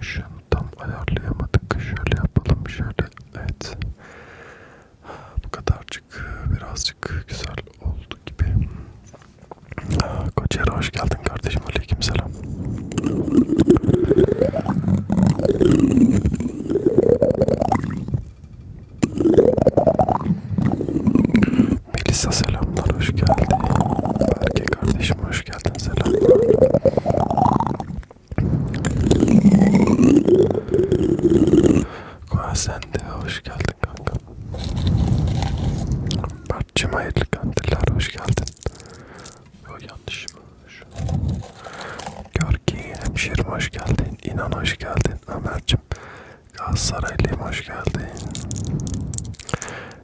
Işığı tam ayarlayamadık. Şöyle yapalım. Şöyle. Evet. Bu kadarcık birazcık güzel oldu gibi. Koçer hoş geldin kardeşim kardeşim aleyküm selam. Melisa selamlar hoş geldin. Berke kardeşim hoş geldin selamlar. Koa sen de hoş geldin kanka. Ben Sarp'cım hayırlı kandiller hoş geldin. Yo yanlış mı? Şu. Görki hemşerim hoş geldin. İnan hoş geldin. Ömer'cim Galatasaraylıyım hoş geldin.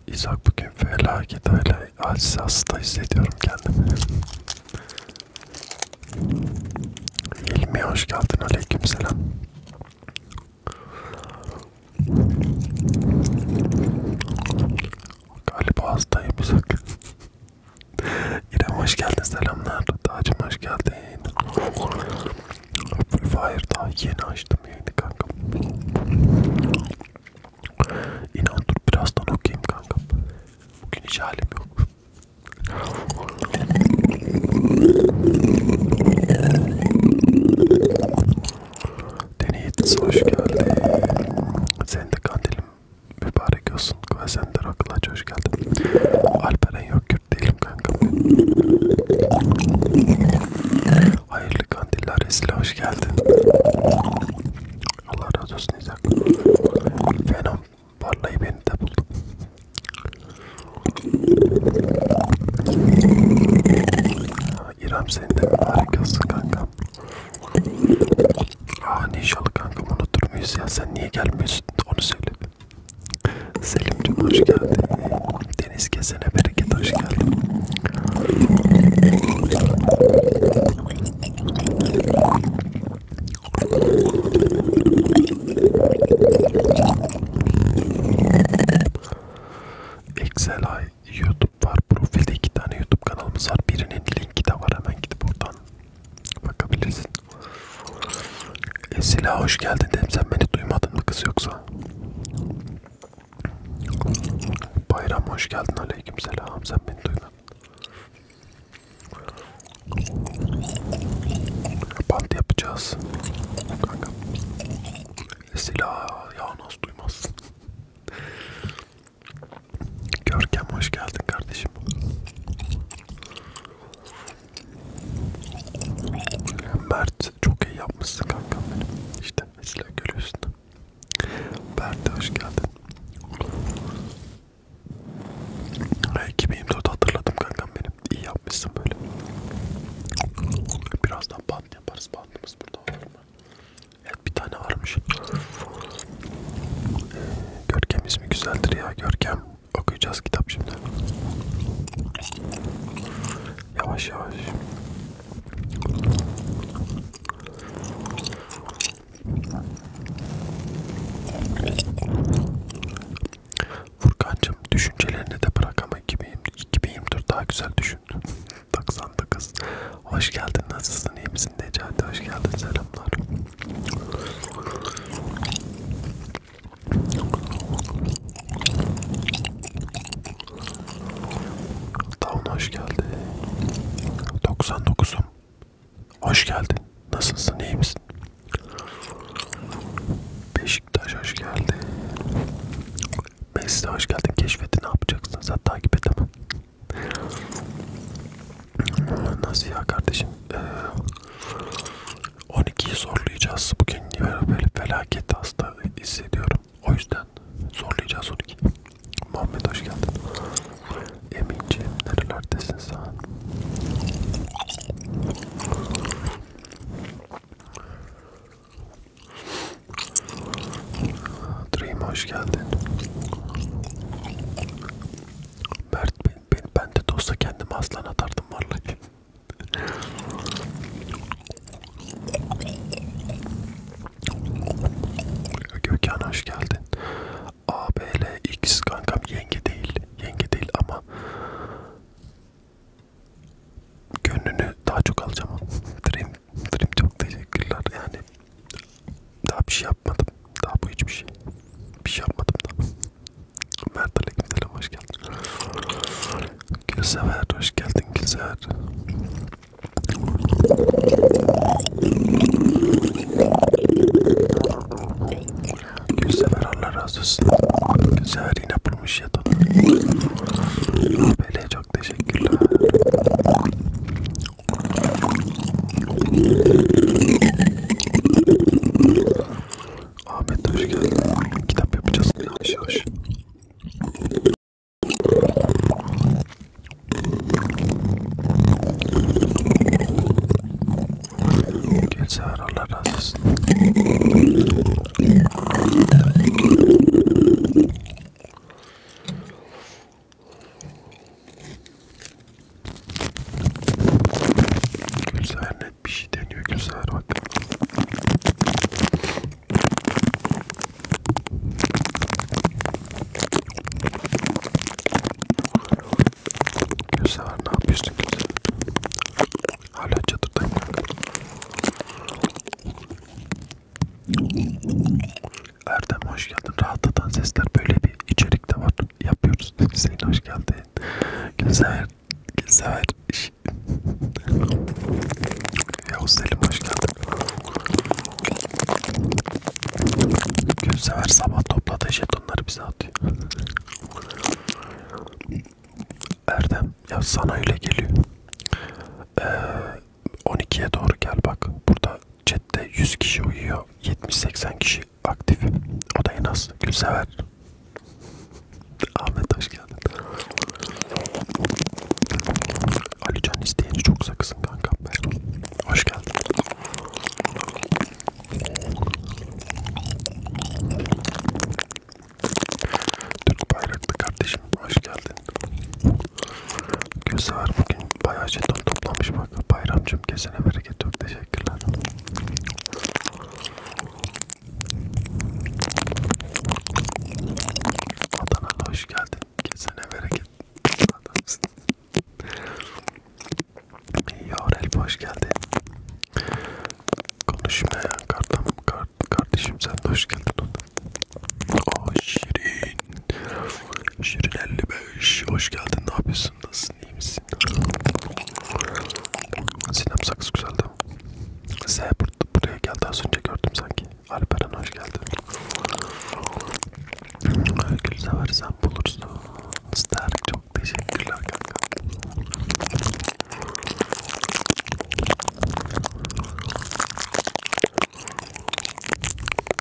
İzak bugün felaket öyle aciz hasta hissediyorum kendimi. İlmi hoş geldin. Aleykümselam. Galiba hastayım sakın. İrem hoş geldin selamlar. Tacım hoş geldin. Apple Fire daha yeni açtım yayını kankam. İnan dur birazdan okuyayım kankam. Bugün hiç halim yok. Deneyit hoş geldin. Sen de kandilim mübarek olsun. Ve sen de Rakılaç hoş geldin. Alperen yok Kürt değilim kanka. Hayırlı kandiller Esile hoş geldin. Allah razı olsun İzak. Fenom parlayı beni de buldum. İrem senin de mübarek olsun kankam. Aa inşallah kanka unutur muyuz ya sen niye gelmiyorsun onu söyle. Selim'cim hoş geldin. Deniz kesene bereket hoş geldin. Excel ay YouTube var. Profilde iki tane YouTube kanalımız var. Birinin linki de var. Hemen gidip oradan bakabilirsin. Esila hoş geldin dedim. Sen beni duymadın mı kız yoksa? Bayram hoş geldin. Aleyküm selam. Sen beni duymadın. Bant yapacağız. Kanka. Esila ya nasıl duymazsın? Görkem hoş geldin kardeşim. Mert çok iyi yapmışsın kankam benim. İşte mesela görüyorsun. Mert hoş geldin. Ekibimde hatırladım kankam benim. İyi yapmışsın böyle. Birazdan bant yaparız. Bantımız burada olur mu? Evet bir tane varmış. Görkem ismi güzeldir ya. Görkem okuyacağız kitap şimdi. Yavaş yavaş. Furkan'cığım düşüncelerini de bırak ama 2024 daha güzel düşün. 99 Hoş geldin nasılsın iyi misin Necati hoş geldin selamlar Down hoş geldin 99'um Hoş geldin nasılsın iyi misin Beşiktaş hoş geldin Mesle hoş geldin keşfeti ne yapacaksın sen takip edemem Nasıl ya kardeşim? Ee, 12'yi zorlayacağız. Bugün böyle felaket hasta hissediyorum. O yüzden zorlayacağız 12. Muhammed hoş geldin. Eminciğim nerelerdesin sen? Dream hoş geldin. Mert ben, ben de dosta kendimi aslan atardım vallahi. Gökhan hoş geldin. ABLX kankam yenge değil. Yenge değil ama gönlünü daha çok alacağım. Dream Frim çok teşekkürler yani. Daha bir şey yapmadım. Daha bu hiçbir şey. Bir şey yapmadım da. Mert Aleykümselam hoş geldin. Gülsever hoş geldin Gülsever. Gülsever Allah razı olsun. Gülsever yine bulmuş ya da. Bele çok teşekkürler. Ahmet hoş geldin. Kitap yapacağız yavaş yavaş. Gece aralar razısın. Gülsahar net bir şey deniyor Gülsahar bak. Gülsahar ne yapıyorsun Gülsahar? Hala çadırdayım. Erdem hoş geldin. Rahatlatan sesler böyle bir içerik de var. Yapıyoruz. Hüseyin hoş geldin. Gülsever. Gülsever. Yavuz Selim hoş geldin. Gülsever sabah topladığı jetonları bize atıyor. Erdem ya sana öyle geliyor. Ee, 12'ye doğru gel bak. Burada chatte 100 kişi uyuyor. 70-80 kişi aktif. O da en az. Gülsever. Ahmet hoş geldin. Ali Can isteyeni çok sakısın kanka. Hoş geldin. Türk bayraklı kardeşim hoş geldin. Gülsever bugün bayağı jeton toplamış bak bayramcım kesene bereket çok teşekkürler. Adana'da hoş geldin. Kesene bereket. Adamsın. Yorel hoş geldin. Konuşmayan kartam kart, kardeşim sen de hoş geldin. O şirin Şirin 55 hoş geldin. Ne yapıyorsun? Nasılsın? İyi misin? Sinem saksı güzeldi. Z buraya geldi az önce gördüm sanki. Alperen hoş geldin. Gülsever sen bulursun. Stark çok teşekkürler kanka.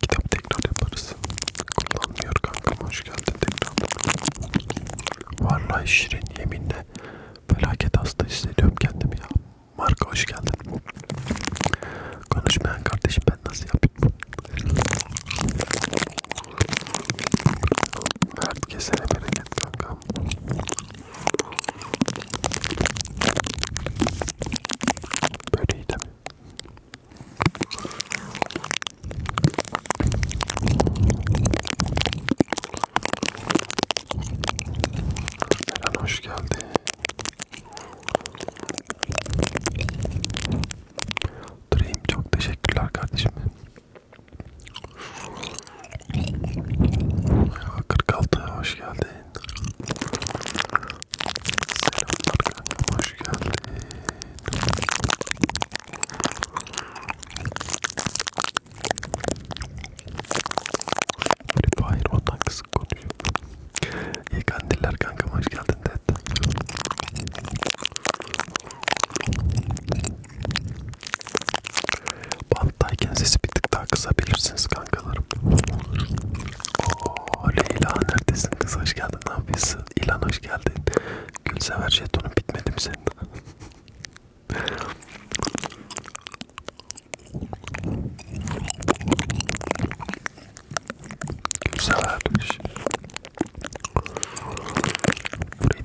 Kitap tekrar yaparız. Kullanmıyor kankam hoş geldin tekrar. Vallahi şirin yeminle felaket hasta hissediyorum kendimi ya. Marka hoş geldin. Konuşmayan kardeşim ben nasıl yapayım? Herkese bereket kanka. Böyle iyi tabii. Meran hoş geldi. Dream çok teşekkürler kardeşim. 46 hoş geldin. Selamlar kanka hoş geldin. Hayır ondan kısık konuşuyor. İyi kandiller kanka hoş geldin de. Bana alttayken sesi bir tık daha kısabilirsiniz kankalarım. Oo Leyla neredesin kız hoş geldin ne yapıyorsun? İlan hoş geldin. Gülsever jetonun bitmedi mi senin? Gülsever.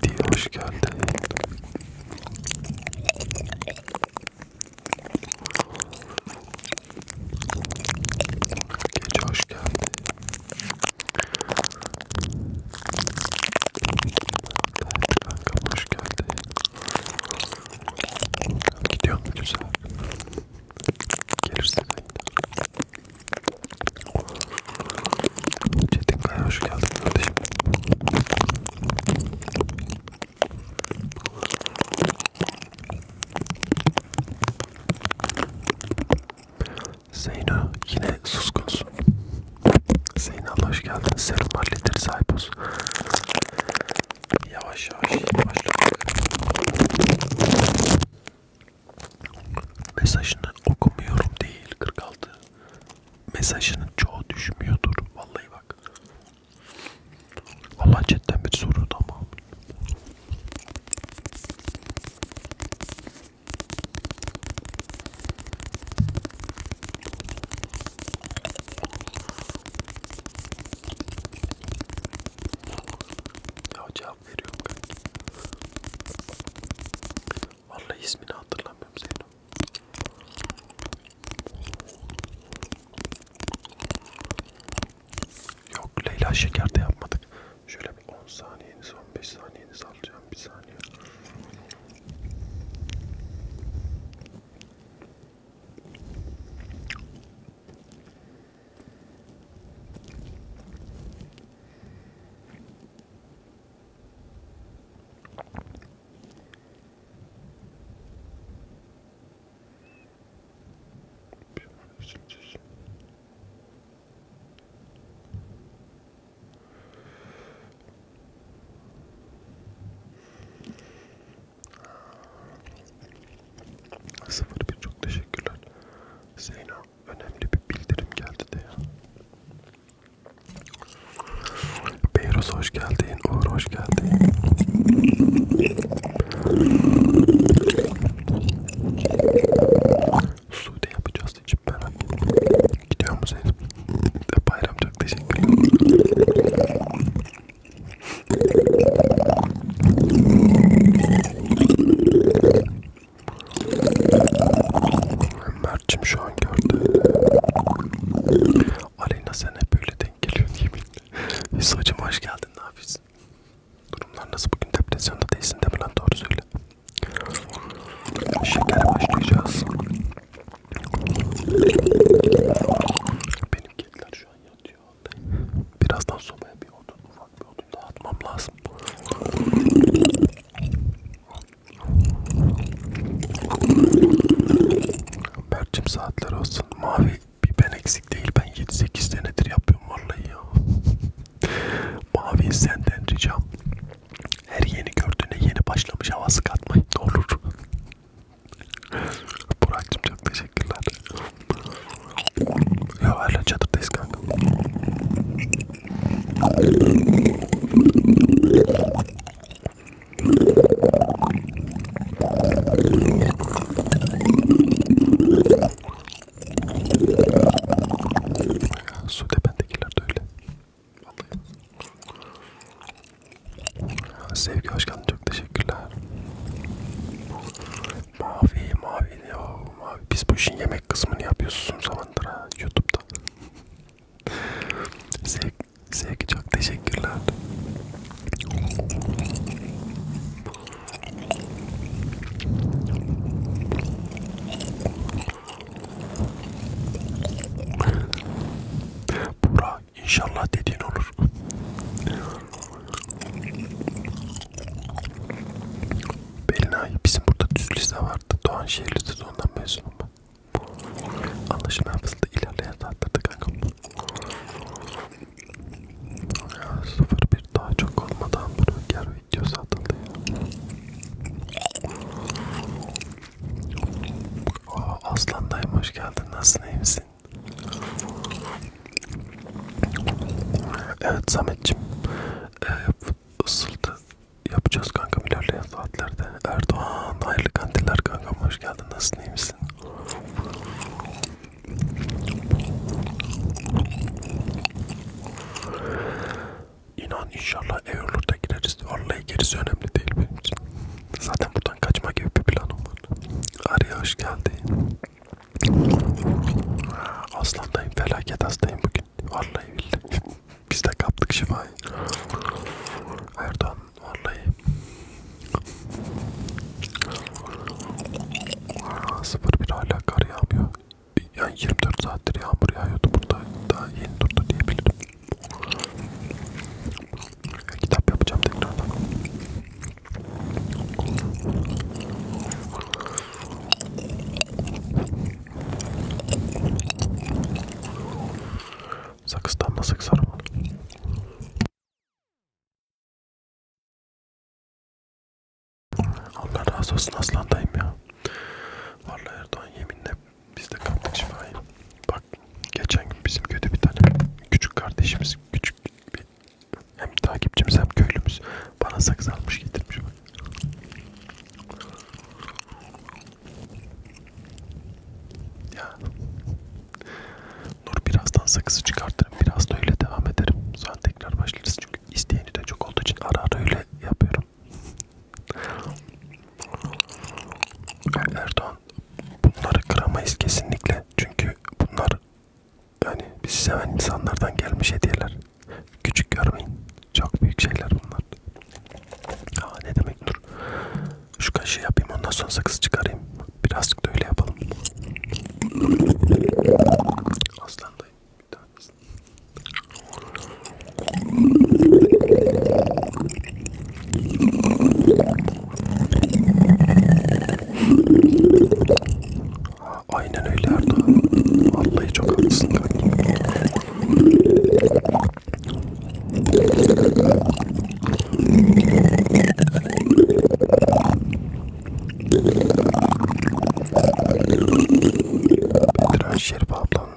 Freddy hoş geldin. Gece hoş geldin. Evet kanka hoş geldin. Gidiyor mu güzel? Gelirsin Çetin Kaya hoş geldin kardeşim. Zeyno yine suskunsun. Zeyno hoş geldin. Serum halledir sahipos. Yavaş yavaş başladık. Mesajını okumuyorum değil 46 mesajının çoğu düşmüyordur. Vallahi bak. Vallahi cidden bir soru da ama. Ya cevap veriyorum kanka. Vallahi ismini hatırlamıyorum Zeyno. Yok Leyla şeker de yapmadık. Şöyle bir 10 saniyeniz 15 saniyeniz alacağım bir saniye. Sıfır bir çok teşekkürler. Zeyno önemli bir bildirim geldi de ya. Beyruz hoş geldin, Uğur hoş geldin. Sude yapacağız için merak Gidiyor musunuz? Bayram çok teşekkürler. Mert'cim şu an gördü. Aleyna sen hep böyle denk geliyorsun yeminle. Hüsacım hoş geldin ne yapıyorsun? Durumlar nasıl bugün depresyonda değilsin değil mi lan doğru söyle. Şekere başlayacağız. Benim kediler şu an yatıyor. Birazdan sobaya bir odun ufak bir odun dağıtmam lazım. Berçim saatler olsun. Mavi bir ben eksik değil. Ben 7-8 senedir yapıyorum vallahi ya. Mavi senden ricam. Her yeni gördüğüne yeni başlamış havası katmayın. Ne olur. Burak'cım çok teşekkürler. Ya hala çadırdayız kanka. Su tependekiler de öyle. Vallahi. Sevgi hoş geldin. Çok teşekkürler. Mavi, mavi diyor. Mavi. Biz bu işin yemek kısmını yapıyoruz uzun zamandır ha. Youtube'da. Sevgi, sevgi çok teşekkürler. Bura inşallah dediğin olur. Belinay bizim burada düz lise vardı. Doğanşehir Lisesi ondan mezunum ben. Anlaşılmayan fısıldı ilerleyen saatlerde kankam. Ya sıfır bir daha çok olmadan burger videosu atıldı ya. Aa, Aslan dayım hoş geldin. Nasılsın iyi misin? Evet Samet'cim. Ee, ısıldı. Yapacağız kankam ilerleyen akşam saatlerde. Erdoğan hayırlı kandiller kankam hoş geldin. Nasılsın iyi misin? İnan inşallah Eylül'de gireriz. Vallahi gerisi önemli değil benim için. Zaten buradan kaçma gibi bir planım var. Arya hoş geldin. Aslandayım felaket hastayım bugün. Vallahi billahi. Biz de kaptık şifayı. Erdoğan Vallahi. Sıfır bir hala kar yağmıyor. Yani 24 saattir yağmur yağıyordu burada. Daha yeni durdu diyebilirim. Kitap yapacağım tekrardan. Sakızdan da sıksar mı? Allah razı olsun aslandayım ya. Vallahi Erdoğan yeminle biz de kaptık şifayı. Bak geçen gün bizim köyde bir tane küçük kardeşimiz, küçük bir hem takipçimiz hem köylümüz bana sakız almış getirmiş bak. Ya. Nur birazdan sakızı çıkartırım. Biraz da öyle devam ederim. Sonra tekrar başlarız. Çünkü isteyeni de çok olduğu için ara ara öyle yapıyorum. Erdoğan bunları kıramayız kesinlikle. Çünkü bunlar yani bizi seven insanlardan gelmiş hediyeler. Küçük görmeyin. Çok büyük şeyler bunlar. Aa, ne demek Dur. Şu kaşığı yapayım ondan sonra sakızı çıkarayım. Birazcık da öyle yapalım. Aslan dayım. Bir tanesini. Aynen öyle Erdoğan. Vallahi çok haklısın kanka. Biraz Şerife ablanın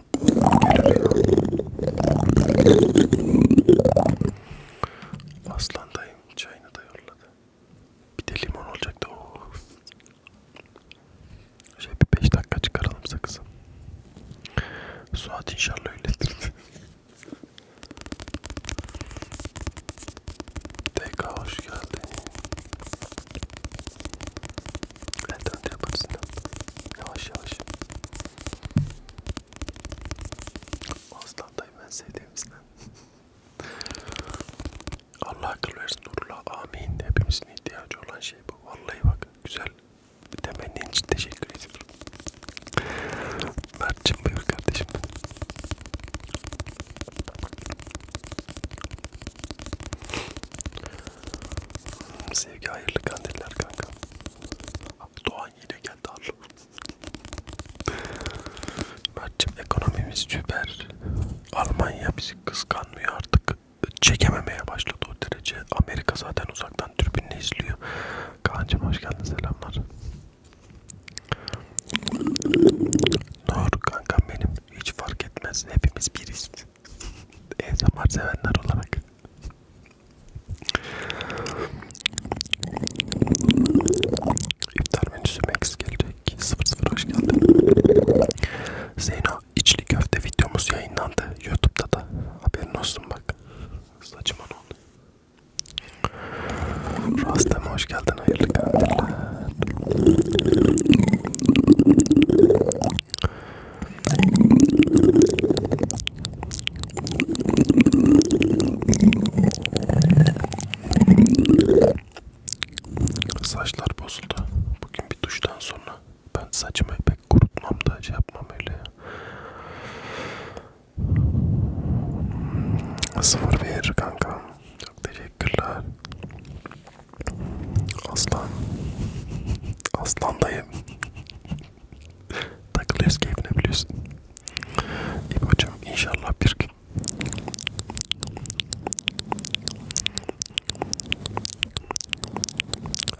Aslan dayım çayını da yolladı. Bir de limon olacaktı. Oo. Şey bir 5 dakika çıkaralım sakızı. Suat inşallah öyledir. TK hoş geldin. Elden yaparsın. Yavaş yavaş. Aslan dayı ben sevdiğimizden. Allah akıl versin Nurullah amin. Hepimizin ihtiyacı olan şey bu. Vallahi bak güzel temennin için teşekkür ediyorum. Mert'cim buyur kardeşim. Sevgi hayırlı kandiller kanka. Doğan yine geldi Allah. Mert'cim ekonomimiz süper. Almanya bizi kıskanmıyor artık. Çekememeye başladı o derece. Amerika zaten uzaktan yan türbinle izliyor. Kaan'cım hoş geldin selamlar. Nur kankam benim hiç fark etmez hepimiz biriz. Ezamar sevenler olarak. İftar menüsü Max gelecek. 00 hoş geldin. Zeyno içli köfte videomuz yayınlandı. Youtube'da da. Haberin olsun bak. Saçma oldu. Rastem hoş geldin hayırlı günler. Saçlar bozuldu. Bugün bir duştan sonra ben saçımı pek kurutmam da şey yapmam öyle ya. 0-1 kanka. Çok teşekkürler. Aslan. Aslan dayım. Takılıyoruz keyfine biliyorsun. İbo'cum inşallah bir gün.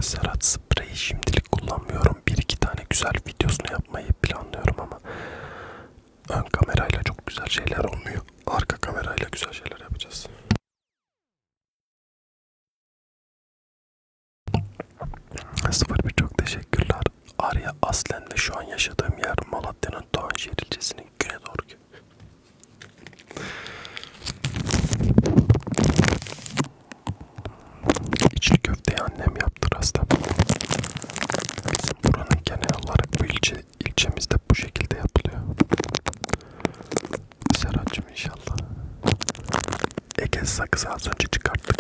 Serhat spreyi şimdilik kullanmıyorum. Bir iki tane güzel videosunu yapmayı planlıyorum ama ön kamerayla çok güzel şeyler olmuyor. Arka kamerayla güzel şeyler yapacağız. Sıfır bir çok teşekkürler. Arya aslen ve şu an yaşadığım yer Malatya'nın Doğanşehir ilçesinin güne doğru. İçli köfteyi annem yaptı rasta. Bizim buranın genel olarak bu ilçe, ilçemizde bu şekilde yapılıyor. Serhat'cığım inşallah. Ege sakızı az önce çıkarttık.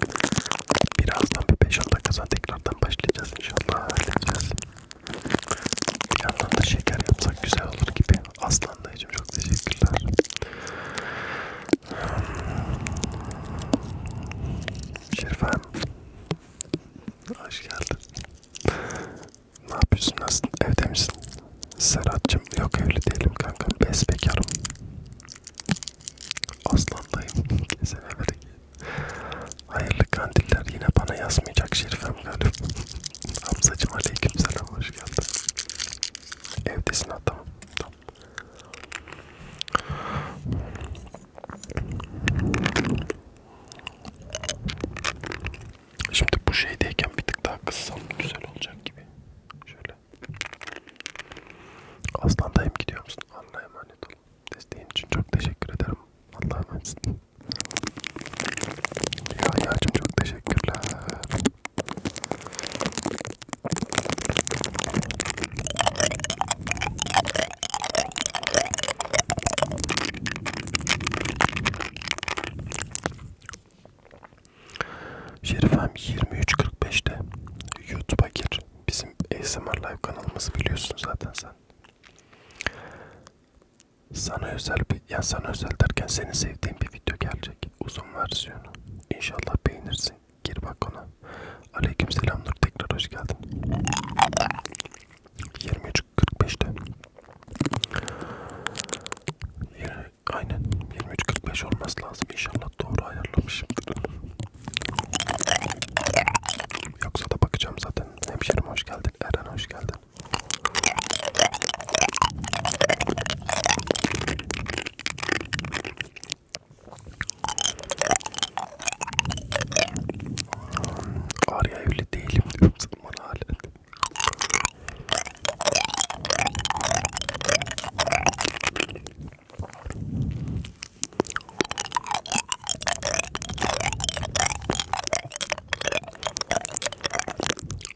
Birazdan bir 5-10 dakika tekrardan başlayacağız inşallah. Halledeceğiz. Bir yandan da şeker yapsak güzel olur gibi. Aslan dayıcım çok teşekkürler. Şerifem. Hoş geldin. ne yapıyorsun? Nasıl? Evde misin? Serhat'cığım yok evli değilim kanka. Besbekarım. Aslandayım. Kesin evli Hayırlı kandiller yine bana yazmayacak Şerifem galiba. Hamzacım aleyküm selam hoş geldin. Evdesin ha tamam. Şimdi bu şeydeyken bir tık daha kıssam güzel olacak gibi. Şöyle. Aslan dayım gidiyor musun? Allah'a emanet olun. Desteğin için çok teşekkür ederim. Allah'a emanet olun. Rüyacım çok teşekkürler. Şerifem 23.45'te YouTube'a gir. Bizim ASMR Live kanalımızı biliyorsun zaten sen. Sana özel bir, yani sana özel derken seni sevdiğim bir video gelecek. Uzun versiyonu. İnşallah beğenirsin Gir bak ona. Aleyküm selam Nur. Tekrar hoş geldin. 23.45'te. Aynen 23.45 olması lazım. İnşallah doğru ayarlamışımdır. Yoksa da bakacağım zaten. Hemşerim hoş geldin. Eren hoş geldin. Arya evli değilim diyorum sana bana halen.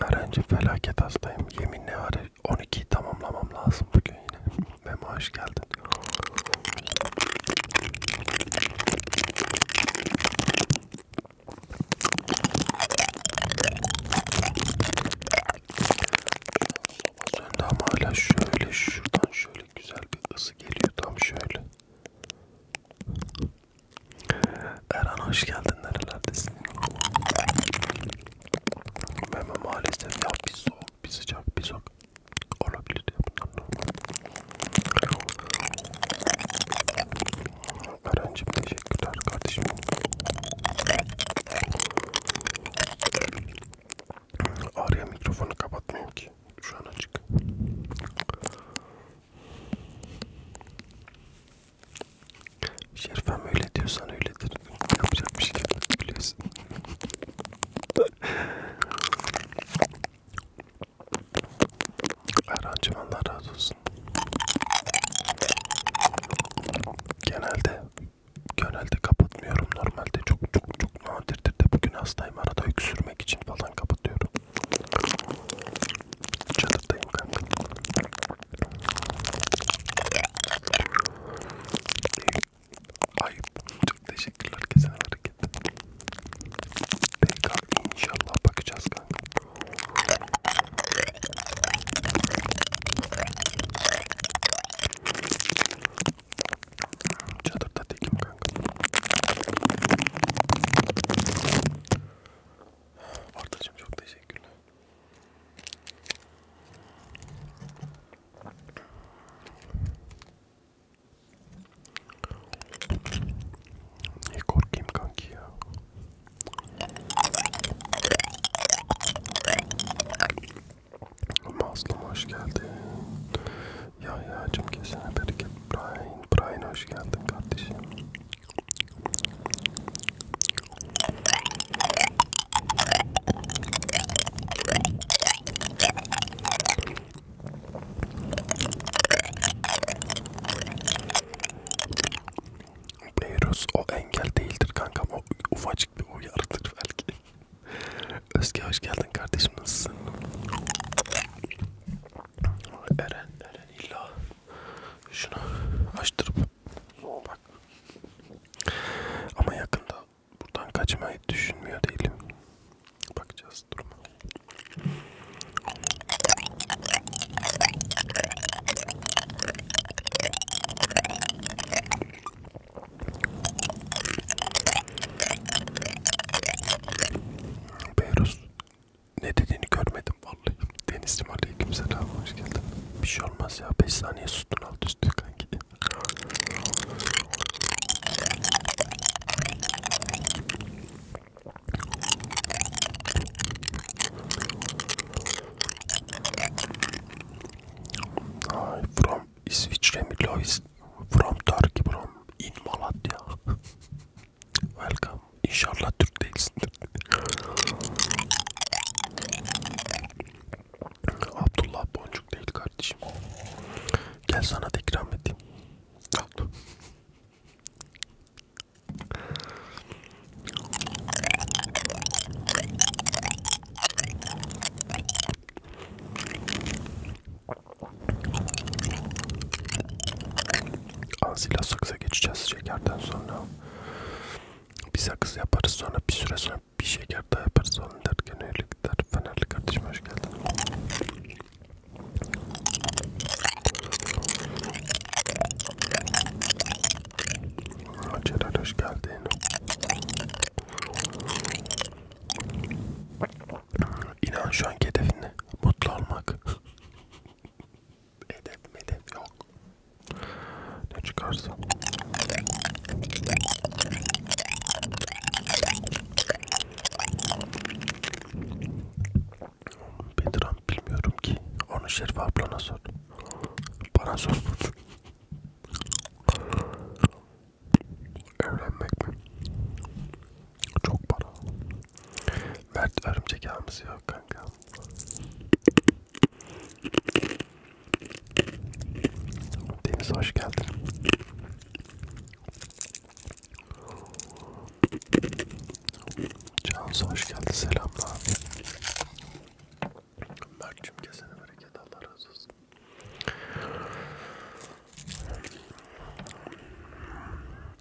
Erenci felaket hastayım. Yeminle var 12'yi tamamlamam lazım bugün diyor yine. Memo hoş geldin. Sende ama hala şöyle şuradan şöyle güzel bir ısı geliyor tam şöyle. Erhan hoş geldin nerelerdesin? Memo maalesef ya bir soğuk bir sıcak bir soğuk olabilir diye bunlar Öğrencim teşekkürler kardeşim. Arya mikrofonu kapatmıyorum ki. Şu an açık. Şerifem öyle diyorsan öyledir. Yapacak bir şey yok biliyorsun. Erhan'cım Allah razı olsun. Genelde genelde kapatmıyorum. Normalde çok çok çok nadirdir de bugün hastayım. Arada öksürmek için falan kapatıyorum. Çadırdayım kanka. Ayıp. Çok teşekkürler kesin hareket. Peki inşallah bakacağız kanka. Çadırda değilim kanka. Ardacığım çok teşekkürler. Ne korkayım kanki ya. Mazlum hoş geldin. Ya yacım kesene bereket. Brian, Brian hoş geldin kardeşim. Beyrus o engel değildir kankam o ufacık bir uyarıdır belki. Özge hoş geldin kardeşim nasılsın? Eren Eren illa şunu açtırıp bak ama yakında buradan kaçmayı düşünmüyor değilim. Bakacağız duruma. Beyrus ne dediğini görmedim vallahi. Denizcim aleyküm selam hoş geldin. Bir şey olmaz ya 5 saniye sustun alt üstü kanki. Ay, from İsviçre mi Lois? From Turkey from in Malatya. Welcome. İnşallah Türk değilsindir. Abdullah Boncuk değil kardeşim. Gel sana da ikram edeyim. Al. Azila sakıza geçeceğiz şekerden sonra. Bir sakız yaparız sonra bir süre sonra bir şeker daha yaparız Saliler gene iyilikler. Fenerli kardeşim hoş geldin. Celal hoş geldin. İnan şu anki hedefin ne? Mutlu olmak. Hedef hedef yok. Ne çıkarsa. Bedran bilmiyorum ki. Onu Şerife ablana sor. Bana sor. Evlenmek mi? Çok para. Mert örümcek ağımız yok kanka. Deniz hoş geldin. Cansu hoş geldi selamlar. Mert'cim kesene bereket Allah razı olsun.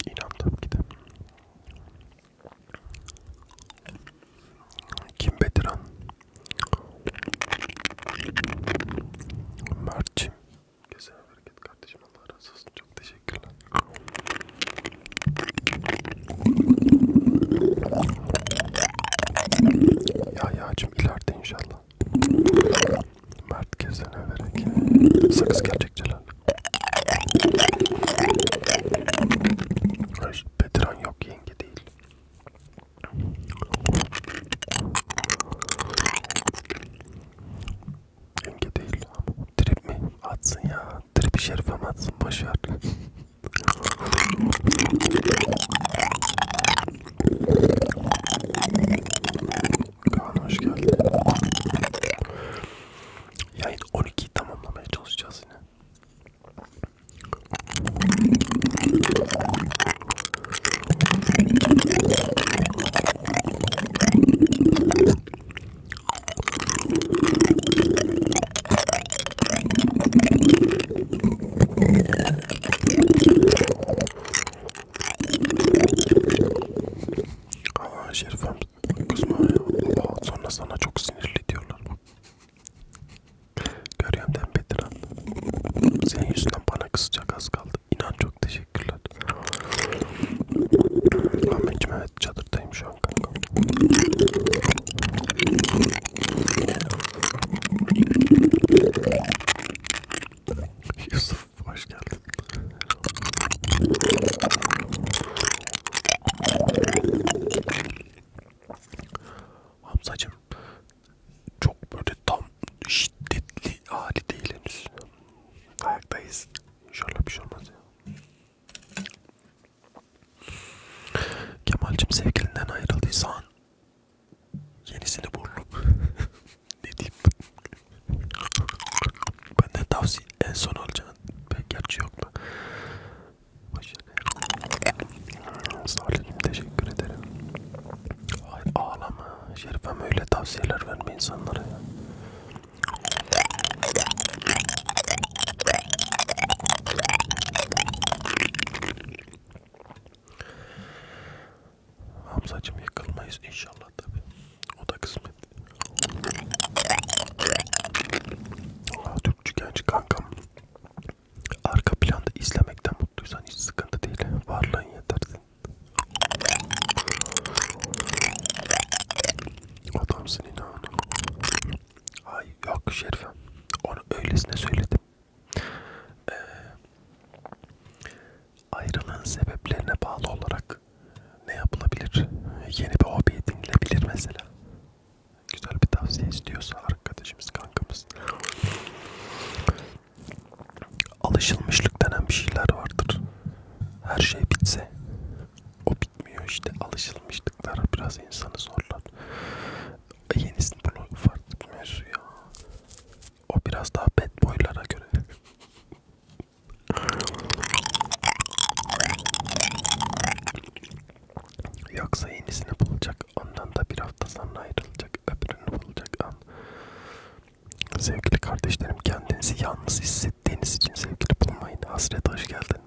İnan tabii ki de. Kim Bediran? Mert'cim Kesene bereket kardeşim Allah razı olsun. Çok teşekkürler. Ya yağcım ileride inşallah. Mert kesene bereket. Sakız gelecek Celal. Bedran yok yenge değil. Yenge değil. Trip mi? Atsın ya. Trip şerife mi atsın? Boşver. Kaan hoş geldin. Yayın 12'yi tamamlamaya çalışacağız yine. Aa Şerifem kızma ya. Aa, sonra sana çok sinirli diyorlar. Görüyorum ben Bedirhan. Senin yüzünden bana kızacak az kaldı. İnan çok teşekkürler. Ahmetciğim evet çadırdayım şu an kanka. Yusuf hoş geldin. Hamzacığım çok böyle tam şiddetli hali değil henüz. Ayaktayız. İnşallah bir şey olmaz ya. Kemal'cim sevgilinden ayrıldıysan yenisini bulup ne diyeyim benden tavsiye en son alacağın gerçi yok mu? Başarı. Salim teşekkür ederim. Hayır ağlama. Şerifem öyle tavsiyeler verme insanlara ya. Hamzacım yıkılmayız inşallah tabi. O da kısmet. Aa, Türkçü genç kankam. Arka planda izlemekten mutluysan hiç sıkıntı değil. Varlığın yeter. Adamsın inan. Ay yok Şerife. Onu öylesine söyledim. Ee, ayrılığın sebeplerine bağlı olarak ne yapılabilir? Yeni bir hobi edinilebilir mesela. Güzel bir tavsiye istiyorsa arkadaşımız, kankamız alışılmışlık denen bir şeyler vardır. Her şey bitse o bitmiyor işte alışılmışlıklar biraz insanı zorlar. Yenisini bunu farklı bir mevzu ya. O biraz daha bad boylara göre. Yoksa yenisini bulacak, ondan da bir hafta sonra ayrılacak, öbürünü bulacak an. Sevgili kardeşlerim kendinizi yalnız hissettiğiniz için sevgili bulmayın. Hasret hoş geldin.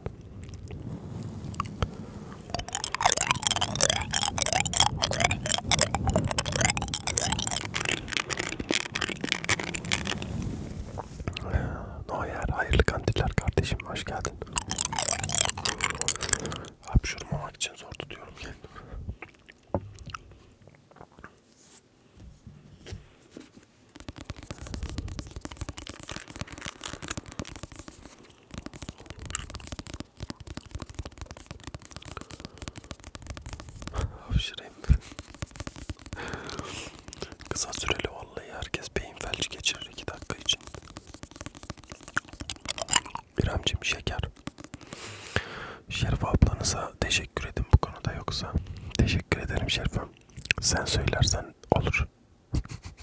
Noyer hayırlı kandiller kardeşim hoş geldin. Hapşurmamak için zor tutuyorum kendimi. Hapşırayım ben. Kısa süreli vallahi herkes beyin felci geçirir 2 dakika için. İremciğim şeker. Şerif ablanıza teşekkür teşekkür edin bu konuda yoksa. Teşekkür ederim Şerifem. Sen söylersen olur.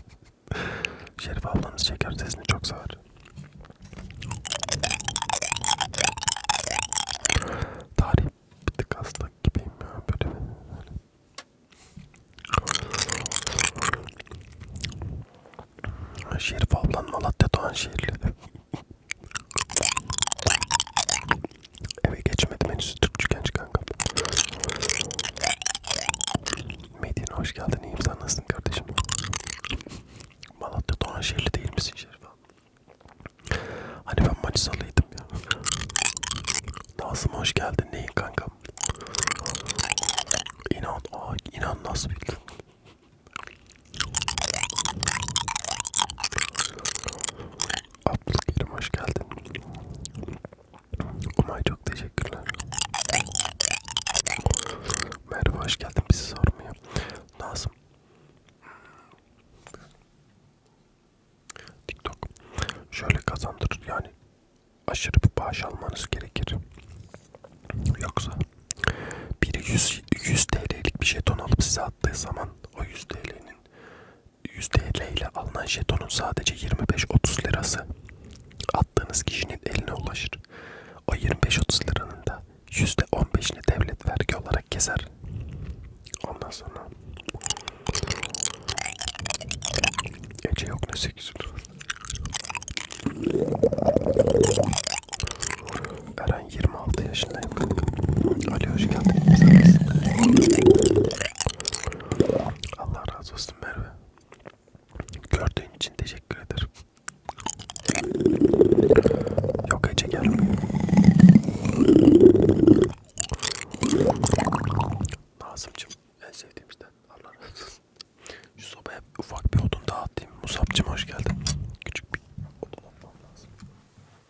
Şerif ablanız şeker sesini çok sever. Tarih bir tık hasta gibiyim ya böyle. böyle. Şerif ablan Malatya Doğan şehirli. Eve geçmedim henüz Türkçüken kanka. Medine hoş geldin iyiyim sen nasılsın kardeşim? Malatya Doğanşehirli değil misin Şerif abi? Hani ben Manisa'lıydım ya. Nazım hoş geldin neyin kankam? İnan, aa, inan nasıl bildin? Abdülkerim hoş geldin. Umay çok teşekkürler. Merhaba hoş geldin bizi sormaya. Lazım. TikTok şöyle kazandırır yani aşırı bir bağış almanız gerekir. Yoksa biri 100, 100 TL'lik bir jeton alıp size attığı zaman alınan o 100 TL'nin 100 TL ile alınan jetonun sadece 25-30 lirası attığınız kişinin eline ulaşır. O 25-30 liranın da %15'ini devlet vergi olarak keser. Ondan sonra Ece yok ne 8 lira. Ben 26 yaşındayım kanka. Ali hoş geldin. Allah razı olsun Merve. Gördüğün için teşekkür ederim. Yok Ece gelmiyor. Nazımcım en sevdiğimizden Allah razı olsun. Şu sobaya ufak bir odun daha atayım. Musabcım hoş geldin. Küçük bir odun atmam lazım.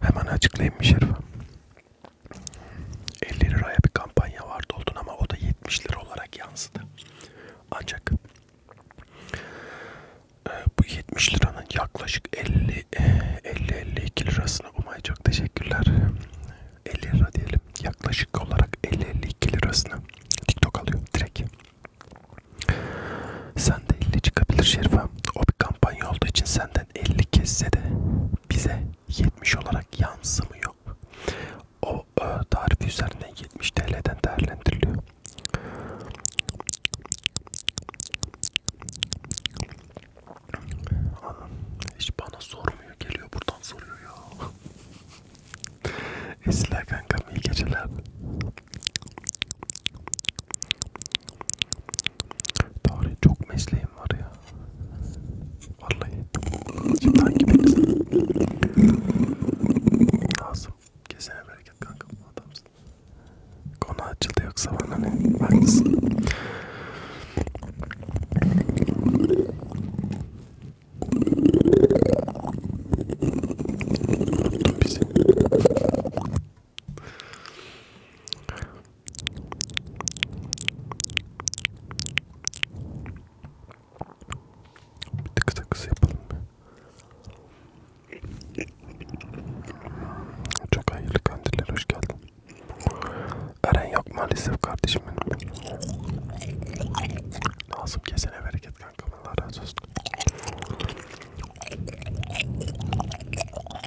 Hemen açıklayayım mı Şerif? 50 liraya bir kampanya vardı oldun ama o da 70 lira olarak yansıdı. Ancak e, bu 70 liranın yaklaşık 50-52 e, lirasını Umay çok teşekkürler. 50 lira diyelim. Yaklaşık olarak 50-52 lirasını TikTok alıyor direkt. Sen de 50 çıkabilir Şerif sonra o bir kampanya olduğu için senden 50 kesse de bize 70 olarak yansımıyor. O e, tarifi üzerinden 70 TL'den değerlendiriliyor. Hiç bana sormuyor. Geliyor buradan soruyor ya. Esler kankam iyi geceler. Tarih çok mesleğim var ya. Vallahi. Şimdi hangi birisi? Lazım. Kesene bereket kankam adamsın. Konu açıldı yoksa bana ne? Haklısın. Unuttum bizi. Bir tık takısı yapalım mı? Çok hayırlı kandiller hoş geldin. Eren yok maalesef kardeşim benim. Lazım kesene bereket kankam Allah razı olsun.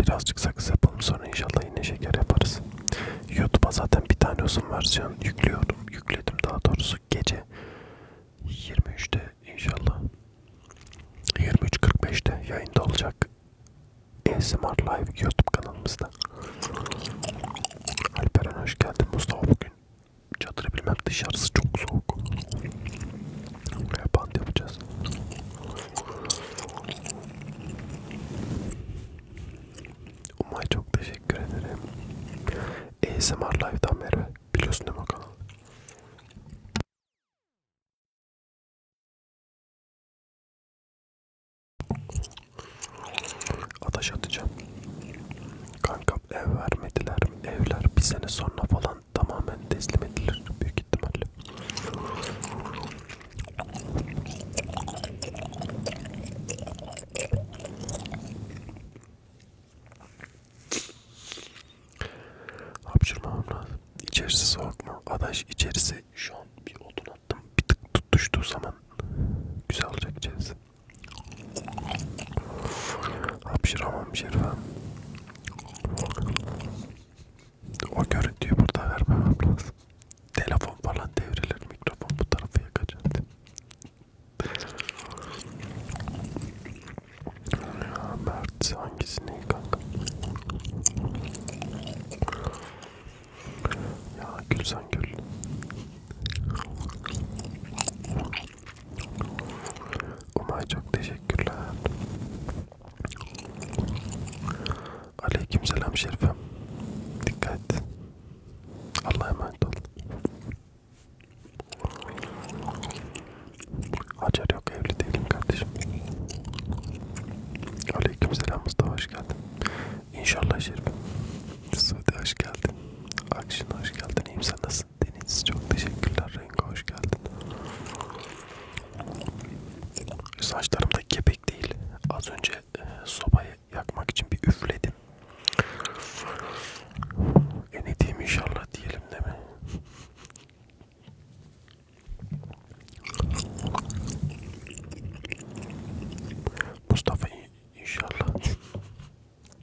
birazcık sakız yapalım sonra inşallah yine şeker yaparız. YouTube'a zaten bir tane uzun versiyon yüklüyorum. Yükledim daha doğrusu gece 23'te inşallah 23.45'te yayında olacak ASMR Live YouTube kanalımızda. Alperen hoş geldin Mustafa bugün. Çadırı bilmem dışarısı çok soğuk. Buraya band yapacağız. Umay çok teşekkür ederim. ASMR Live'dan beri biliyorsun değil mi o kanalı? Ataş atacağım. Kankam ev vermediler mi? Evler bir sene sonra falan tamamen teslim edilir büyük ihtimalle. Hapşırmamam lazım. İçerisi soğuk mu? Adaş içerisi şu an bir odun attım. Bir tık tutuştuğu zaman güzel olacak içerisi. Hapşıramam Şerifem. O görüntüyü burada vermemem lazım. Telefon falan devrilir, mikrofon bu tarafa yakacak. ya Mert hangisini kanka? Ya gül sen gül. Umay çok teşekkürler. Aleyküm selam Şerifem. Dikkat. Allah'a emanet ol. Hacer yok evli değilim kardeşim. Aleyküm selam Mustafa hoş geldin. İnşallah Şerifem. Suudi hoş geldin. Akşin hoş geldin. İyiyim sen nasılsın? Deniz çok teşekkürler. Rengo hoş geldin. Saçlarım da kepek değil. Az önce e, sobayı yakmak için bir üfledim. Enediğim inşallah diyelim değil mi? Mustafa inşallah.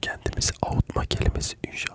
Kendimizi avutma kelimesi inşallah.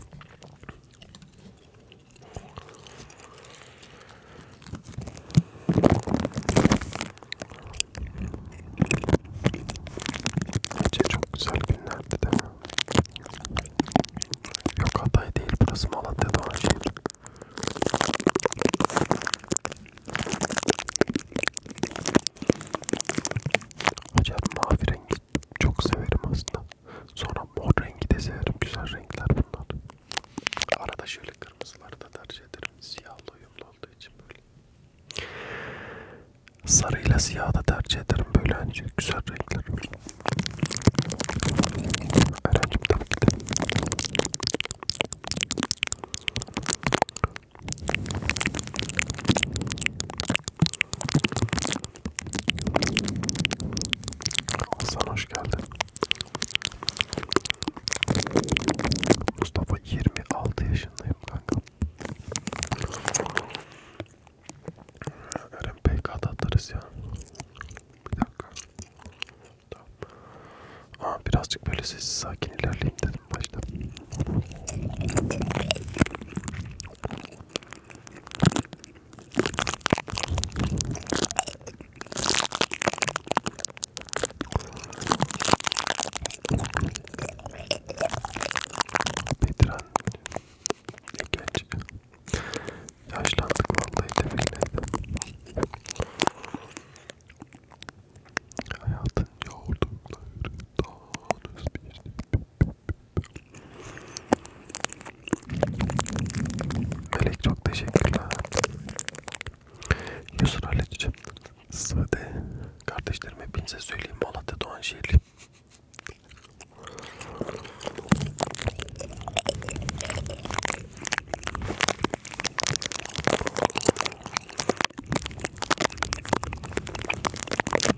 Bence çok güzel günlerdi değil mi? Yok Hatay değil burası Malatya'da olan şehir. Acayip mavi rengi çok severim aslında. Sonra mor rengi de severim. Güzel renkler bunlar. Arada şöyle kırmızıları da tercih ederim. Siyahla uyumlu olduğu için böyle. Sarıyla siyah da tercih ederim. Böyle hani güzel renkler. Erencim tabii ki de. Hasan hoş geldin. Mustafa 26 yaşındayım kanka. Eren PK'da atarız ya. Bir dakika. Tamam. Aa, birazcık böyle sessiz sakin ilerleyeyim dedim başta. Bedran ne genç yaşlandık vallahi tefekle hayatın yorduklarından özbirlik Melek çok teşekkürler. Yusuf Halicim, Sıvıde kardeşlerime hepinize söyleyeyim Malatya Doğanşehirli.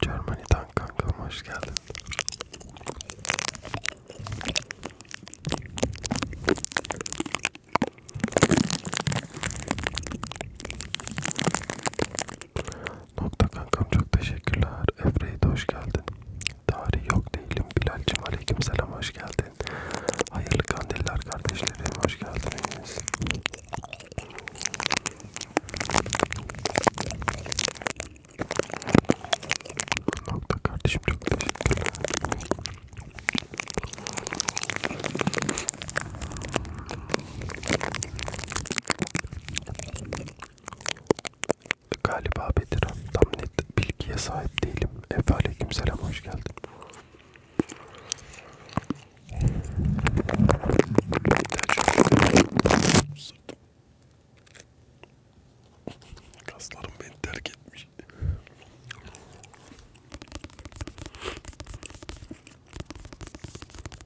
Germany'den kankam hoş geldin. Nokta kankam çok teşekkürler. Efre'ye de hoş geldin. Tarih yok değilim. Bilal'cim aleyküm selam hoş geldin. Hayırlı kandiller kardeşlerim hoş geldiniz. Nokta kardeşim çok teşekkürler. Galiba Bedirhan tam net bilgiye sahip değilim. Efe aleykümselam hoş geldin. Kaslarım beni terk etmiş.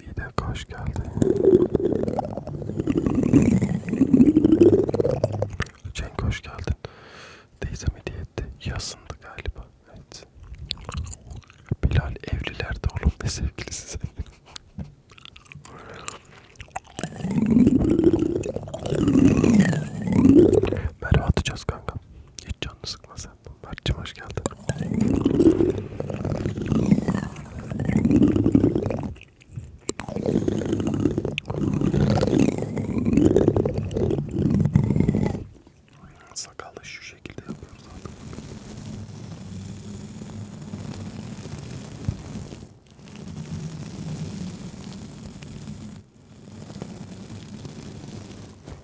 Bir de hoş geldin. Cenk hoş geldin. Teyzem hediye etti. Yasındı galiba. Evet. Bilal evlilerde oğlum ne sevgilisi sen. Merhaba atacağız kanka. Hiç canını sıkmaz sen. Mert'cim hoş geldin. Sakalı şu şekilde yapıyoruz artık.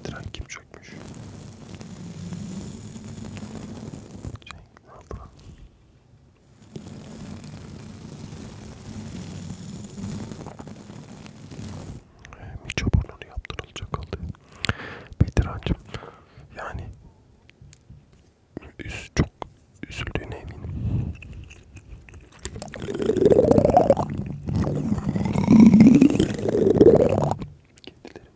Tren kim olacakmış. Cenk ne yapıyor? Ee, Miço burnunu yaptırılacak oldu. Bedirancım yani üz, çok üzüldüğüne eminim. Kendileri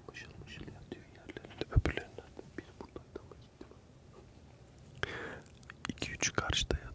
mışıl mışıl yatıyor yerlerinde. Öbürlerinden de biri buradaydı ama gitti. 2-3 karşıda yatıyor.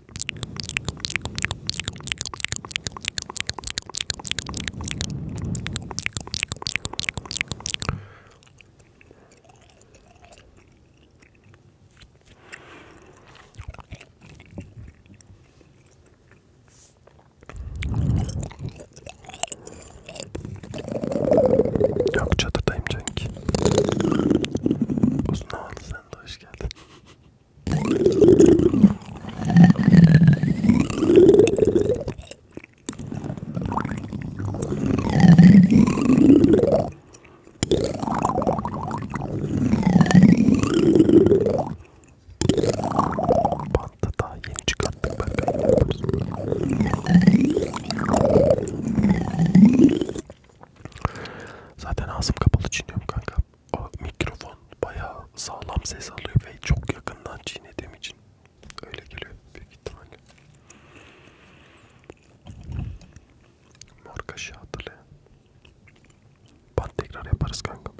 Yok çatıdayım Cenk. Uzun havalı sen de hoş geldin. Bandı daha yeni çıkarttık ben Zaten ağzım kapalı çiğniyorum kanka o mikrofon bayağı sağlam ses alıyor ve çok yakından çiğnediğim için öyle geliyor büyük ihtimalle. Mor kaşığı hatırlayın. Bant tekrar yaparız kanka.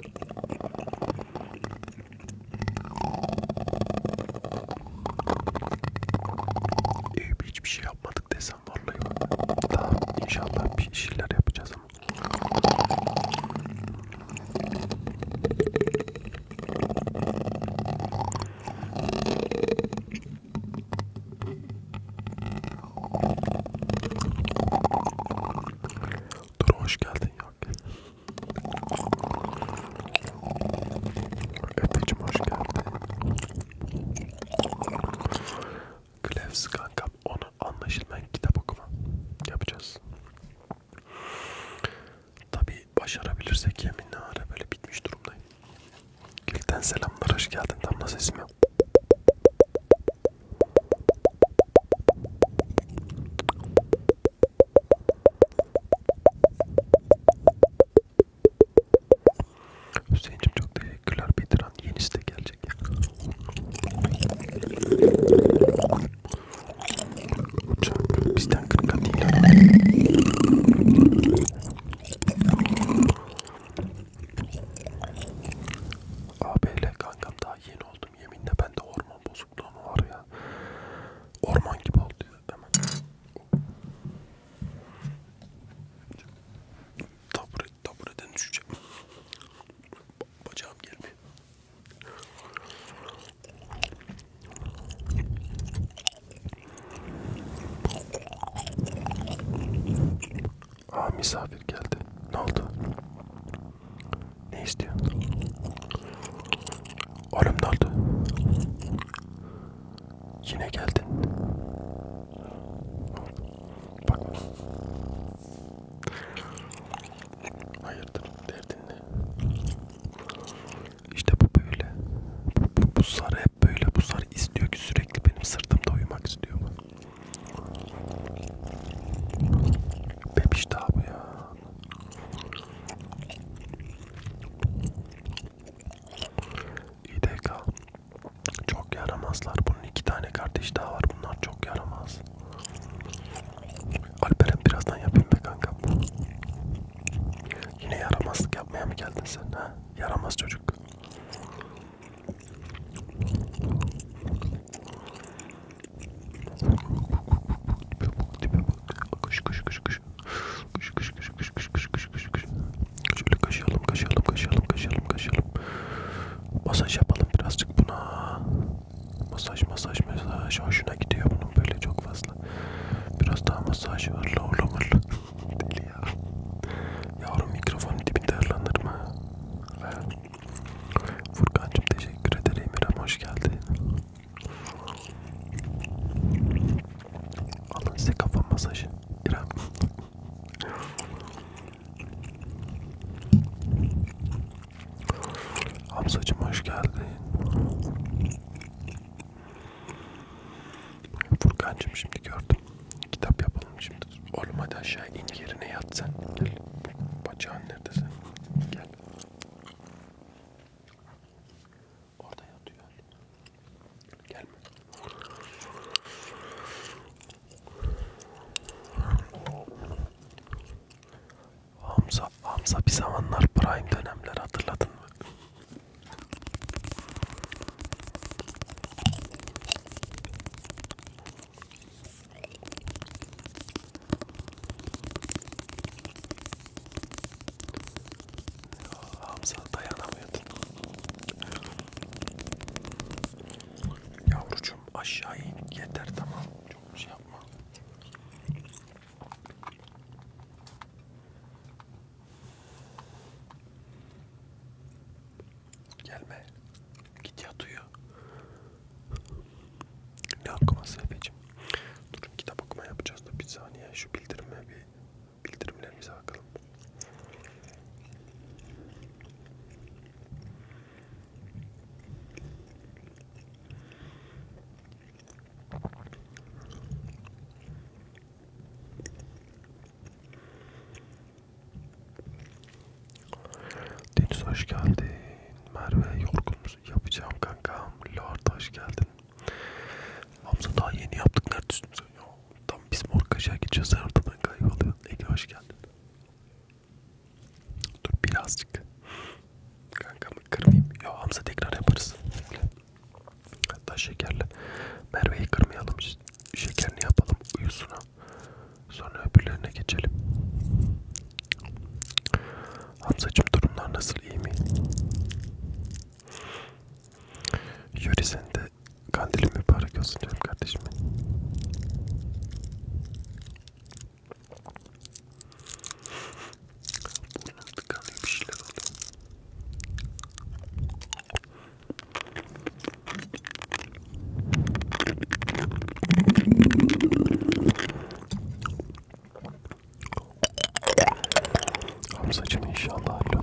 Ee, hiçbir şey yapmadık desem vallahi daha inşallah bir şeyler yapacağız ama. Dur hoş geldin yok. Efecim hoş geldin. Klevs kankam 10 sonra anlaşılmayan kitap okuma yapacağız. Tabi başarabilirsek yeminle ara böyle bitmiş durumdayım. Gülten selamlar hoş geldin tam nasıl ismi? Hüseyin'cim çok teşekkürler Peter Yarın yenisi de gelecek. Uçak bizden kırka değil. ABL kankam daha yeni oldum. Yeminle bende hormon bozukluğu mu var ya? Orman gibi oldu ya. Hemen. Tabure, tabureden düşeceğim. Bacağım gelmiyor. Aa misafir geldi. Ne oldu? Ne istiyorsun? Oğlum ne oldu? Yine geldin. Bak. Hayırdır derdin ne? İşte bu böyle. Bu, bu, bu sarı hep böyle. Bu sarı istiyor ki sürekli benim sırtımda uyumak istiyor. Bebiş daha bu ya. İDK. Çok yaramazlar. Bunun iki tane kardeş daha var. Bunlar çok yaramaz. Alperen birazdan yapayım be kankam. Yine yaramazlık yapmaya mı geldin sen ha? Yaramaz çocuk. Koş koş koş koş. Koş koş koş koş koş koş koş koş koş. Şöyle kaşıyalım kaşıyalım kaşıyalım kaşıyalım kaşıyalım. Masaj yapalım birazcık buna. Masaj masaj masaj hoşuna gidiyor bunun böyle çok fazla. Biraz daha masaj hırla hırla hırla. Deli ya. Yavrum mikrofonun dibinde hırlanır mı? Furkan'cım teşekkür ederim. İrem hoş geldin. Alın size kafa masajı. İrem. Hamzacım hoş geldin. Furkancım şimdi gördüm. Kitap yapalım şimdi. Oğlum hadi aşağı in yerine yat sen. Gel. Bacağın nerede sen? Gel. Orada yatıyor. Gelme. Hamza, Hamza bir zamanlar prime dönemler hatırladın mı? Yo, Hamza dayanamıyordun. Yavrucuğum aşağı in yeter tamam çok şey yapma. Gelme. Git yat uyu. Ne okuması Efe'cim? Durun kitap okuma yapacağız da bir saniye şu bildirime bir bildirimlerimize bakalım. Deniz hoş geldin. Merve yorgun musun? Yapacağım kankam. Lord hoş geldin. Hamza daha yeni yaptık. Neredesin sen ya? Tam biz mor kaşığa gideceğiz. Sen ortadan kayboluyorsun. Ege hoş geldin. Dur birazcık. Kankamı kırmayayım. Yo Hamza tekrar yaparız. Hatta şekerle. Merve'yi kırmayalım. Şekerini yapalım uyusuna. Sonra öbürlerine geçelim. Hamzacığım durumlar nasıl iyi mi? Yuri sen de kandilin mübarek olsun diyorum kardeşim. Buradan tıkanıyor bir şeyler oldu. Hamzacığım inşallah hallolur.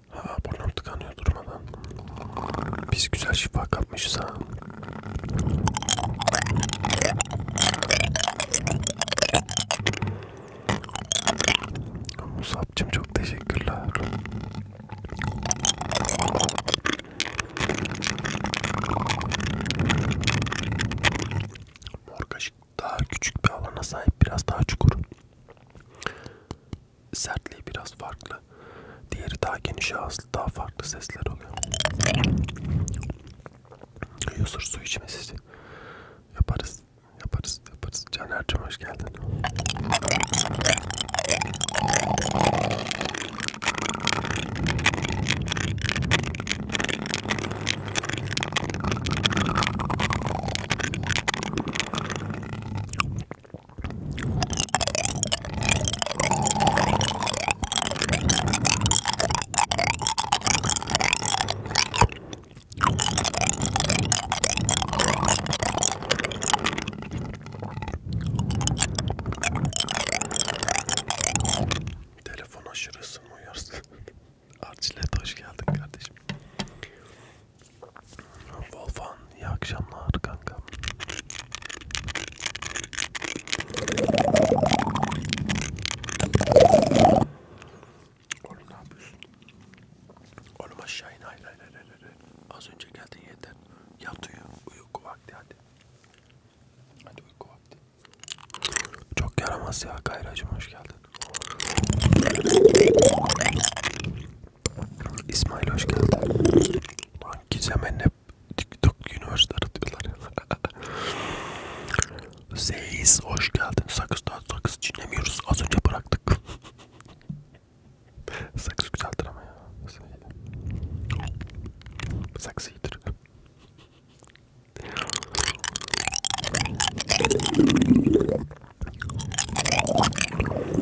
Ha burnum tıkanıyor durmadan. Biz güzel şifa kapmışız ha. Musab'cım çok teşekkürler. Mor kaşık daha küçük bir alana sahip biraz daha çukur. Sertliği biraz farklı. Diğeri daha geniş ağızlı daha farklı sesler oluyor. Yusur su içmesi yaparız yaparız yaparız. Caner'cim hoş geldin. Telefon aşırısın uyarsın. Arçilet hoş geldin kardeşim. Volfan iyi akşamlar kanka. Oğlum ne yapıyorsun? Oğlum aşağı in hayır hayır hayır hayır. Az önce geldin yeter. Yat uyu. Uyku vakti hadi. Hadi uyku vakti. Çok yaramaz ya Gayracım hoş geldin. İsmail hoş geldin. Gizem'e ne TikTok üniversite aratıyorlar. Zeyiz hoş geldin. Sakız daha sakız çiğnemiyoruz. Az önce bıraktık. sakız güzeldir ama ya. Sakız iyidir.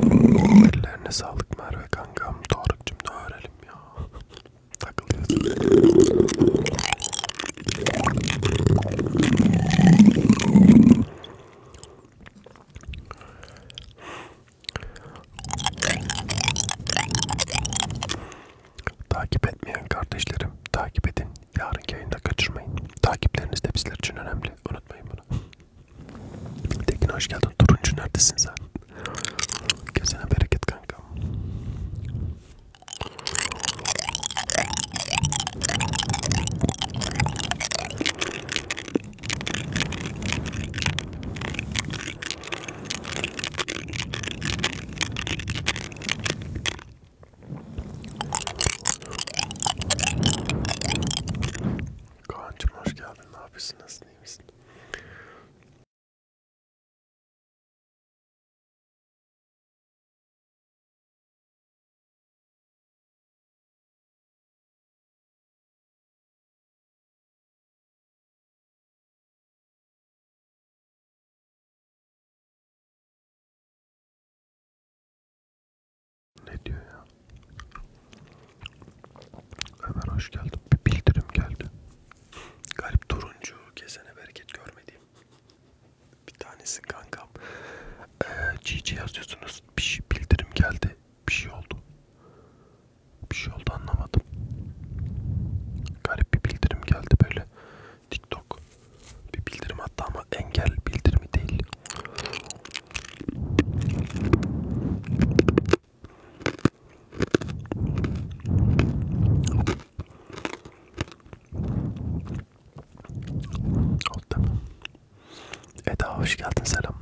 Ellerine sağlık Merve kankam. Tarık'cım ne öğrelim ya. Takılıyorsun. Takip etmeyen kardeşlerim takip edin. Yarınki yayında kaçırmayın. Takipleriniz de bizler için önemli. Unutmayın bunu. Tekin hoş geldin. Turuncu neredesin sen? Kesene bereket kanka. Kaan'cım hoş geldin. Ne yapıyorsun? Nasılsın? İyi misin? Ne diyor ya? Ömer hoş geldin. Bir bildirim geldi. Galip turuncu kesene bereket görmediğim. Bir tanesi kankam. Ee, GG yazıyorsunuz. Bir şey, bildirim geldi. Bir şey oldu. Bir şey oldu anlamadım. Garip bir bildirim geldi böyle. TikTok bir bildirim hatta ama engel bildirimi değil. Oldu. Eda hoş geldin selamlar.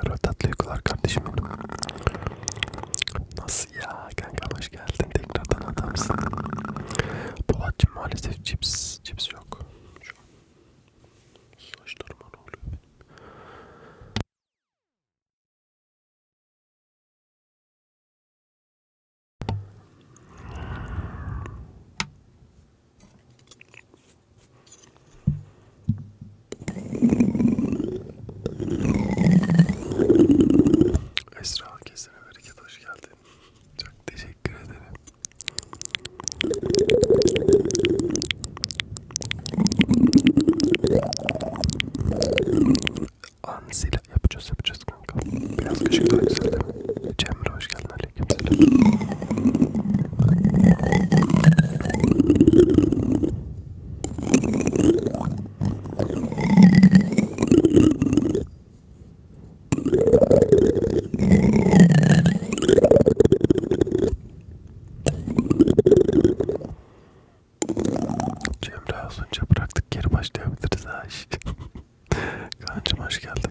Merhaba tatlı uykular kardeşim benim. Nasılsın? Nasıl ya kanka hoş geldin tekrardan adamsın. Polatcığım maalesef cips cips yok. Şu an saçlarıma ne oluyor benim? Esra kesene bereket hoş geldin. Çok teşekkür ederim. Ansila yapacağız yapacağız kanka. Biraz ışık daha güzel. Cemre hoş geldin aleykümselam. Cemre az önce bıraktık geri başlayabiliriz ha işte. Kancım hoş geldin.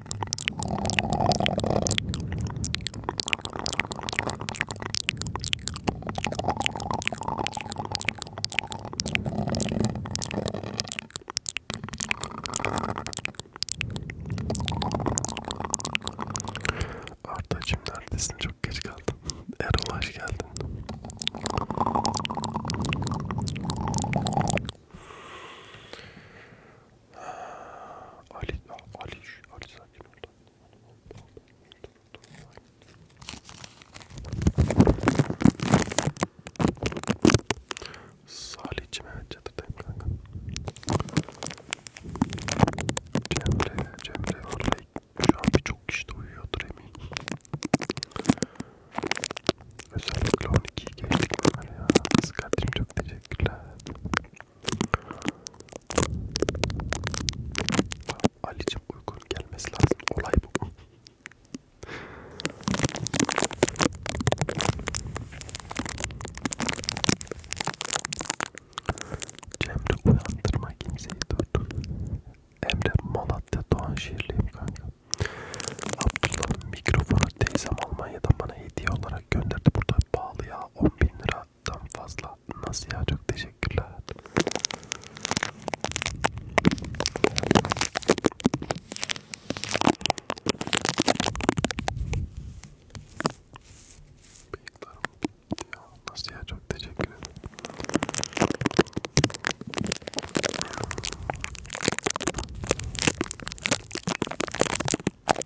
Ardacığım neredesin? Çok geç kaldım. Erol hoş geldin. Ah, Ali, ah, Ali, Ali sakin ol. Salih'cim evet çatıdayım kanka. Cemre, Cemre orada şu an birçok kişi de uyuyordur eminim. Özellikle 12'yi geçtik böyle ya. Sıkatrim çok teşekkürler. Ali'cim uygun gelmesi lazım. Olay bu. Cemre uyandırma kimseyi dur. Emre Malatya Doğan şehirliyim kanka. Abdullah mikrofonu teyzem Almanya'dan bana hediye olarak olarak gönderdi. Burada pahalı ya 10 bin liradan fazla. Nasıl ya çok teşekkürler. Bıyıklarım gidiyor. Nasıl ya çok teşekkür ederim.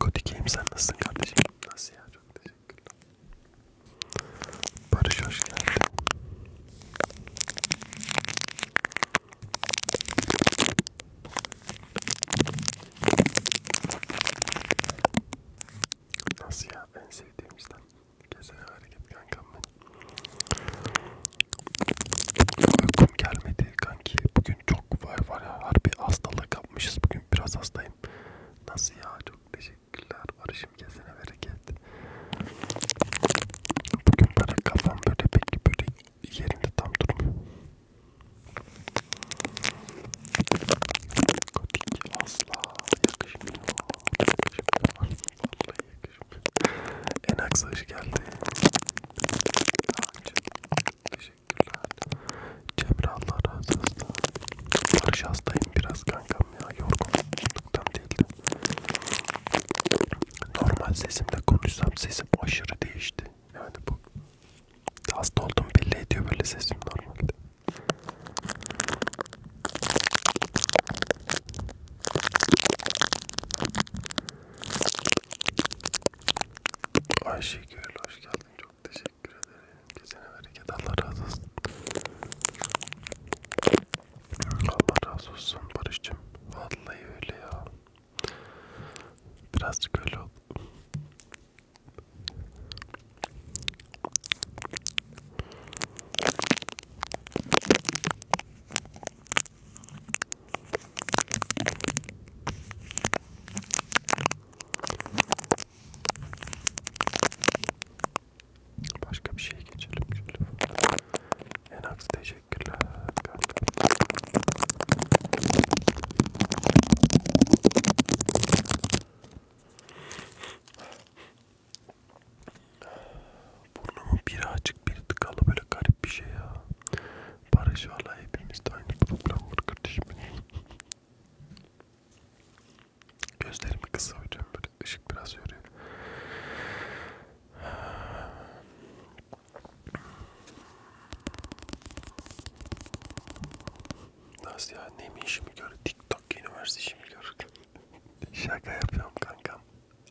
Kodikeyim sen nasılsın kardeşim? Nasıl ya? Çok teşekkürler. Barış hoş geldin. Nasıl ya? En sevdiğim işten. Gezene hareket kankam benim. Uykum gelmedi kanki. Bugün çok var var ya. Harbi hastalık yapmışız bugün. Bugün biraz hastayım. Nasıl ya? Çok teşekkürler. Barış'ım kesene bereket. Bugün böyle kafam böyle pek böyle yerinde tam durmuyor. Kotik asla yakışmıyor. Yakışmıyor. Vallahi yakışmıyor. En aksa hoş geldin. Teşekkür teşekkürler. Cemre Allah razı olsun. Barış hastayım biraz kankam ya. Yorgunluktan değildi. Normal sesimle konuşsam sesim aşırı değişti. Yani bu hasta oldum belli ediyor böyle sesim normalde. Ayşegül hoş geldin olun. Çok teşekkür ederim. Geçen hareket Allah razı olsun. Allah razı olsun Barış'cığım. Vallahi öyle ya. Birazcık öyle oldu. Başka bir şey geçelim şöyle. Enax teşekkürler. Burnumun biri açık biri tıkalı böyle garip bir şey ya. Barış valla hepimizde aynı problem var kardeşim. Gözlerimi kısa hocam böyle ışık biraz yoruyor. Nasıl ya? Ne işimi gör? TikTok üniversite işimi gör. Şaka yapıyorum kankam.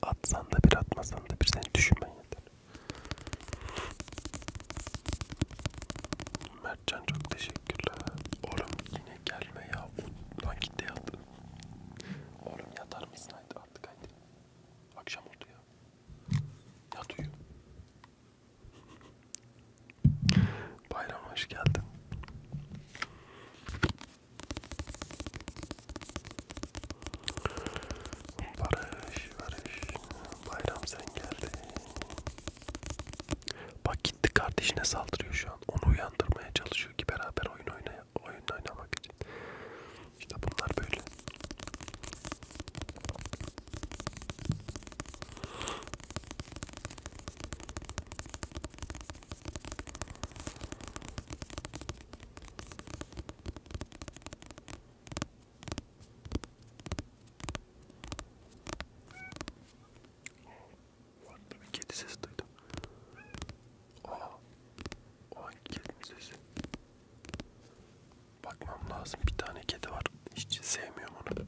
Atsan da bir atmasan da bir seni düşünmen yeter. Mertcan çok teşekkürler. Oğlum yine gelme ya. Lan git de yat. Oğlum yatar mısın haydi artık haydi. Akşam oldu ya. Yat uyu. Bayram hoş geldin. Barış, Barış. Bayram sen geldin. Bak gitti kardeşine saldırıyor şu an. Onu uyandırmaya çalışıyor ki beraber oyun oynaya, oyun oynamak için. İşte bunlar böyle. Orada bir kedi sesi duydum. Aa, o hangi kedinin sesi? Bakmam lazım. Bir tane kedi var. Hiç sevmiyorum onu.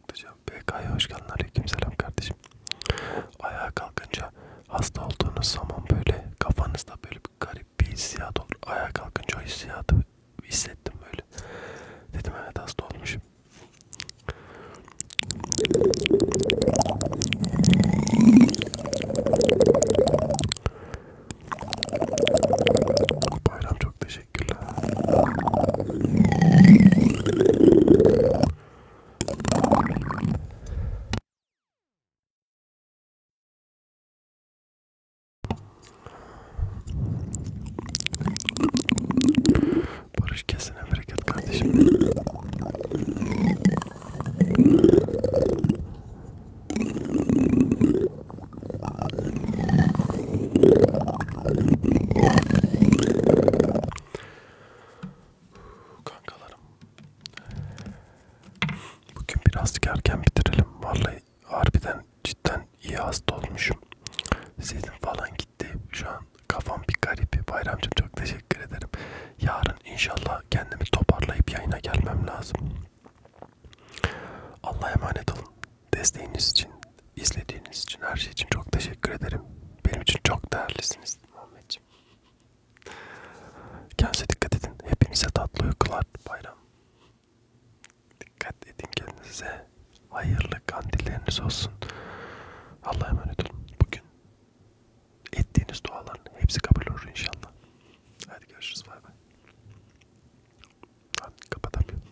kalkacağım. BK'ya hoş geldin. Aleyküm selam kardeşim. Ayağa kalkınca hasta olduğunuz zaman böyle kafanızda böyle bir garip bir hissiyat olur. Ayağa kalkınca o hissiyatı hissettim böyle. Dedim evet hasta olmuşum. Bayram çok teşekkürler. Barış kesene bereket kardeşim. Kankalarım. Bugün birazcık erken bitirelim. Vallahi harbiden cidden iyi hasta olmuşum. Sesim falan gitti. Şu an kafam bir garip. Bayramcığım çok teşekkür ederim. Yarın inşallah kendimi toparlayıp yayına gelmem lazım. Allah'a emanet olun. Desteğiniz için izlediğiniz için, her şey için çok teşekkür ederim. Benim için çok değerlisiniz Muhammedciğim. Kendinize dikkat edin. Hepinize tatlı uykular bayram. Dikkat edin kendinize. Hayırlı kandilleriniz olsun. Allah'a emanet olun. Bugün ettiğiniz duaların hepsi kabul olur inşallah. Hadi görüşürüz. Bay bay. Hadi kapatamıyorum.